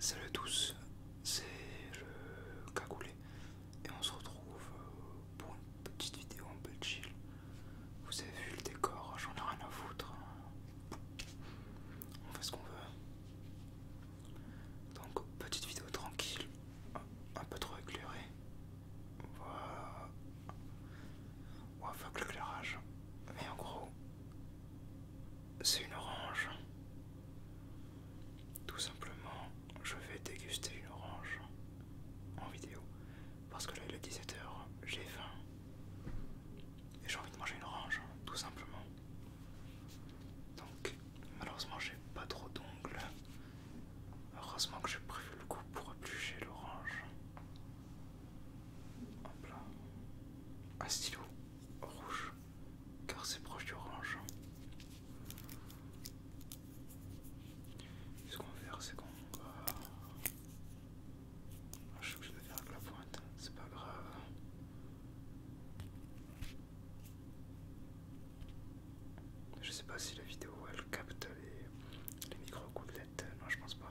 Salut à tous, c'est le Cagoulé et on se retrouve euh, pour une petite vidéo un peu chill. Vous avez vu le décor, j'en ai rien à foutre. Hein. On fait ce qu'on veut. Donc petite vidéo tranquille, un peu trop éclairée. Voilà. faire avec l'éclairage. Mais en gros, c'est une orange. Tout simplement, je vais déguster une orange en vidéo. Parce que là, il est 17h, j'ai faim. Et j'ai envie de manger une orange, tout simplement. Donc, malheureusement, j'ai pas trop d'ongles. Heureusement que j'ai prévu le coup pour éplucher l'orange. Un stylo rouge, car c'est proche du orange. Ce qu'on va faire, c'est qu'on va... Ah, je suis faire avec la pointe, c'est pas grave. Je sais pas si la vidéo elle capte les, les micro-coups non, je pense pas.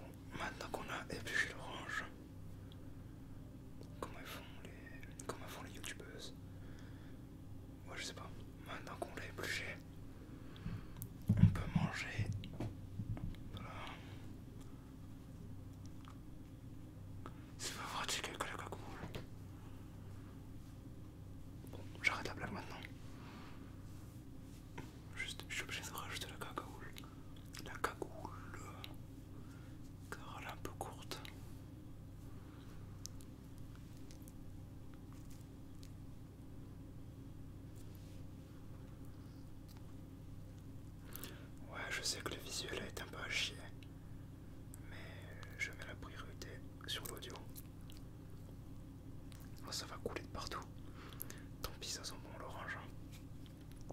Bon, maintenant qu'on a épluché l'orange, comment font les, comment font les youtubeuses Ouais, je sais pas. Maintenant qu'on l'a épluché, on peut manger. Voilà. C'est pas vrai, c'est la cagoule. Bon, j'arrête la blague maintenant. Juste, je suis obligé de rajouter la cagoule. La cagoule. Car elle est un peu courte. Ouais, je sais que le visuel est un peu à chier, mais je mets la priorité sur l'audio. ça va couler de partout. Tant pis, ça sent bon l'orange. Hein.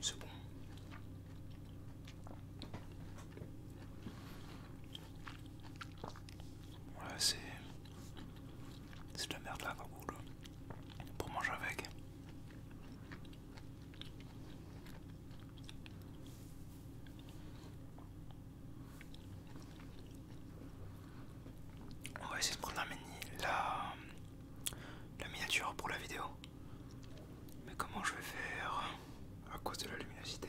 C'est bon. Ouais, c'est. de la merde là, cool. Pour manger avec. On va essayer de prendre la mini, Là la miniature pour la vidéo. Mais comment je vais faire à cause de la luminosité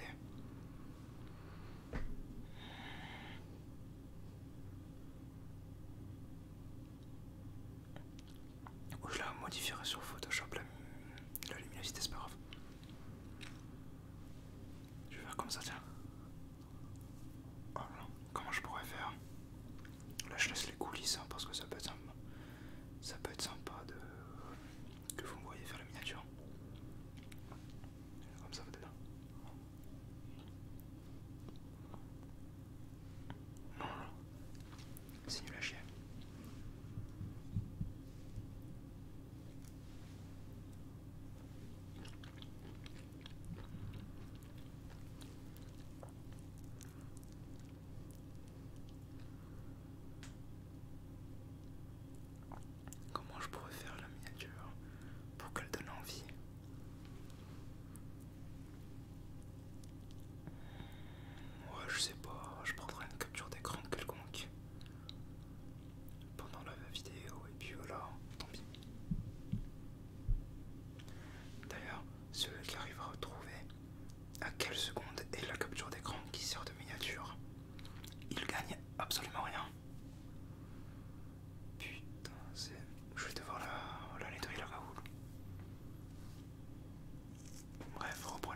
Ou je la modifierai sur Photoshop la, luminosité, c'est pas grave. Je vais faire comme ça, tiens. comment je pourrais faire Là, je laisse coulissant hein, parce que ça peut être ça peut être sympa de que vous me voyez faire la miniature. Comme ça vous êtes c'est nul à chier. Comment je pourrais faire la miniature pour qu'elle donne envie Ouais, je sais pas, je prendrai une capture d'écran quelconque pendant la vidéo et puis voilà, tant pis. D'ailleurs, celui qui arrive à retrouver à quelle seconde est la capture d'écran qui sert de miniature, il gagne absolument rien. Putain, c'est. Je vais devoir la, la nettoyer la haut Bref, reprenons.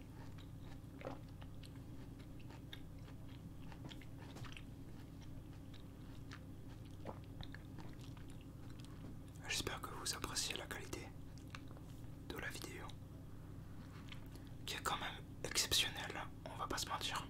J'espère que vous appréciez la qualité de la vidéo qui est quand même exceptionnelle, on va pas se mentir.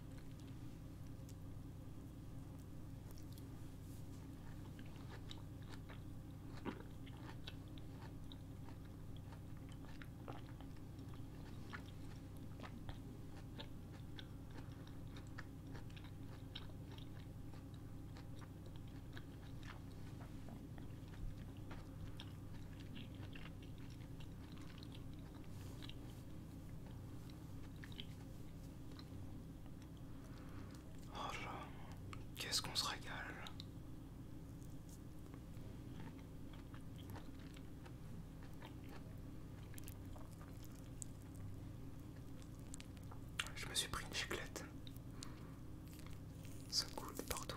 Oh qu'est-ce qu'on se régale je me suis pris une chiclette, Ça coule partout.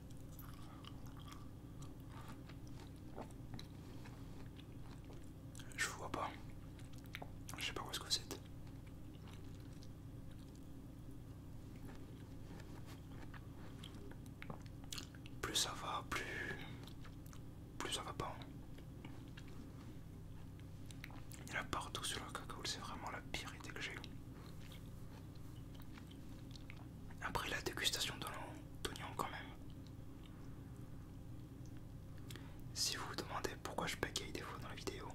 Je vois pas. Je sais pas où est-ce que vous êtes. Plus ça va, plus... Plus ça va pas. Il y a partout sur la cacao, c'est vraiment la pire idée que j'ai. Après la dégustation l'oignon, quand même. Si vous vous demandez pourquoi je bégaye des fois dans la vidéo,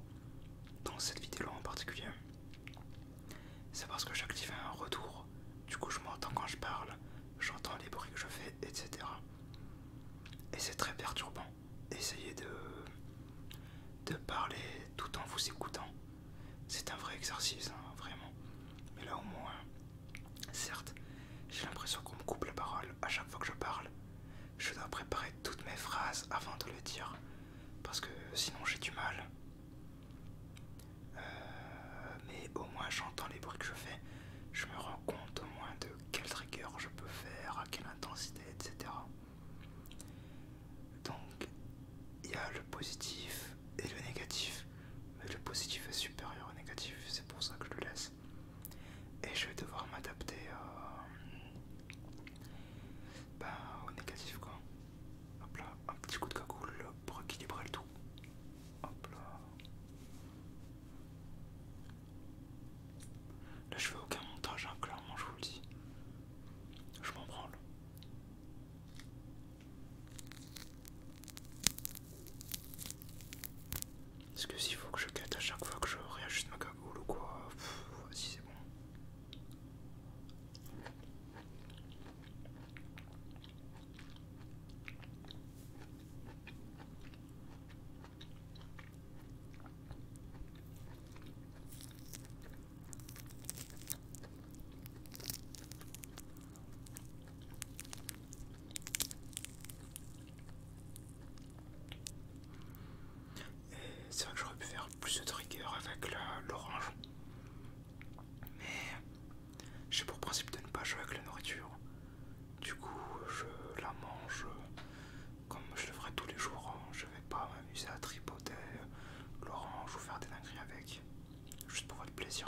dans cette vidéo en particulier, c'est parce que j'active un retour, du coup je m'entends quand je parle, j'entends les bruits que je fais, etc. Et c'est très perturbant. Essayez de, de parler tout en vous écoutant. C'est un vrai exercice, hein, vraiment. Mais là au moins, certes, j'ai l'impression qu'on me coupe la parole à chaque fois que je parle. Je dois préparer toutes mes phrases avant de le dire, parce que sinon j'ai du mal. Euh, mais au moins j'entends les bruits que je fais, je me rends compte au moins de quel trigger je peux faire, à quelle intensité, etc. Donc, il y a le positif et le négatif. Mais le positif est supérieur au négatif, c'est pour ça que je le laisse. Et je vais devoir m'adapter euh, ben, au négatif quoi. Hop là, un petit coup de cagoule pour équilibrer le tout. Hop là. Là je fais aucun montage, hein, clairement je vous le dis. Je m'en branle. Est-ce que s'il faut que je quête à chaque fois que je réajuste ma cagoule ou quoi Voici c'est bon. C'est vrai que j'aurais pu faire plus de trigger avec l'orange. Mais j'ai pour principe de ne pas jouer avec la nourriture. Du coup, je la mange comme je le ferai tous les jours, hein. je vais pas m'amuser à tripoter l'orange ou faire des dingueries avec, juste pour votre plaisir.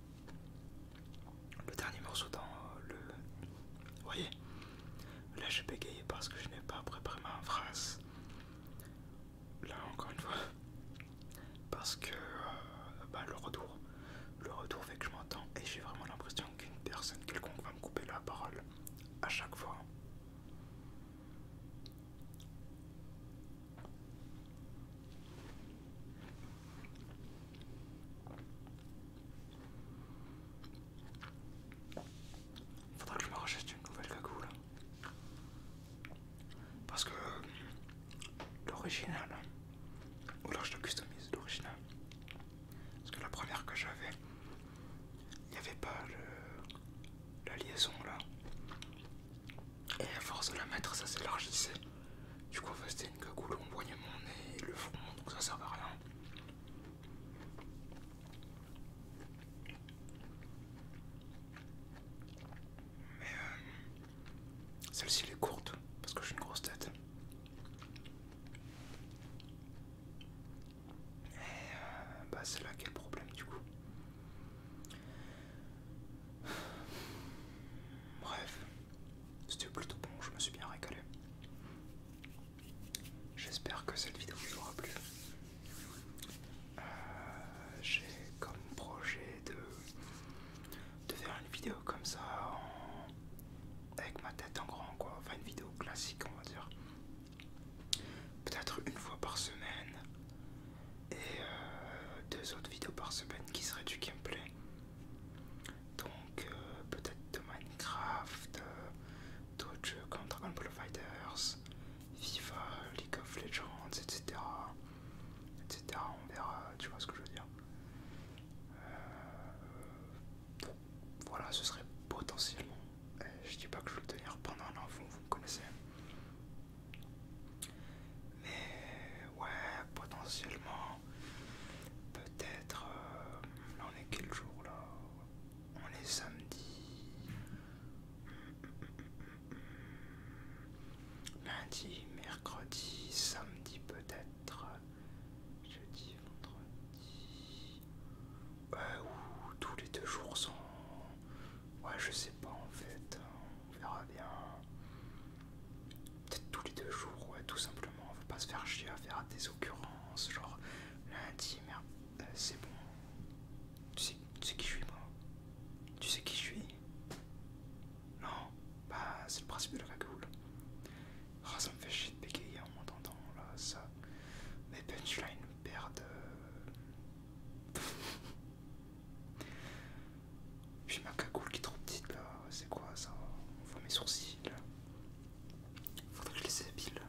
le dernier morceau dans euh, le. Vous voyez Là j'ai bégayé parce que je n'ai pas préparé ma phrase. Là encore une fois. Parce que euh, bah, le retour. Le retour fait que je m'entends et j'ai vraiment l'impression qu'une personne quelconque va me couper la parole à chaque fois. Faudra que je me rachète une nouvelle cagoule. Hein. Parce que euh, l'original, ou alors je le customise, l'original. Parce que la première que j'avais, il n'y avait pas la liaison là. Et à force de la mettre, ça s'élargissait. Du coup, en c'était une cagoule, on mon nez et le front, donc ça sert à rien. Mais euh, celle-ci, elle est courte parce que j'ai une grosse tête. Et euh, bah, c'est là quel problème, du coup. Bref, c'était plutôt bon, je me suis bien régalé. J'espère que cette vidéo vous aura plu. Euh, j'ai comme projet de, de faire une vidéo comme ça en, avec ma tête en grand, quoi. Enfin, une vidéo classique, on va dire. Peut-être une fois par semaine et euh, deux autres vidéos par semaine qui seraient du gameplay. Donc euh, peut-être de Minecraft, euh, d'autres jeux comme Dragon FIFA, League of Legends, etc. On verra, tu vois ce que je veux dire. Euh, voilà, ce serait potentiellement. Eh, je dis pas que je vais le tenir pendant un an, vous, vous me connaissez. Mais ouais, potentiellement, peut-être, là euh, on est quel jour là On est samedi. Lundi, mercredi, samedi peut-être. Jeudi, vendredi. Euh, ou tous les deux jours sont... Ouais, je sais pas en fait on verra bien. Peut-être tous les deux jours, ouais, tout simplement. On veut pas se faire chier à faire des occurrences, genre lundi, merde, euh, c'est bon. Tu sais, qui je suis, moi Tu sais qui je suis Non Bah, c'est le principe de la cagoule. Ah, ça me fait chier de bégayer en m'entendant, là, ça. Mes punchlines perdent. de euh. Puis ma cagoule qui est trop petite là, c'est quoi ça On voit mes sourcils. Faudrait que je les épile.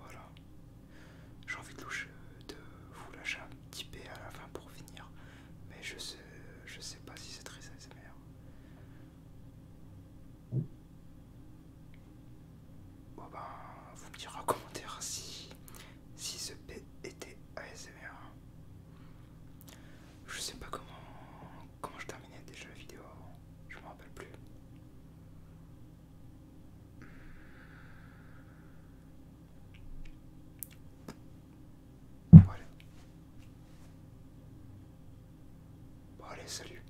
Voilà. J'ai envie de, euh, de vous lâcher un petit P à la fin pour finir. Mais je je sais pas si c'est très ASMR. Bon ben, vous me direz en commentaire si si ce P était ASMR. Je sais pas comment, comment je terminais déjà la vidéo je me rappelle plus. Bon allez, salut.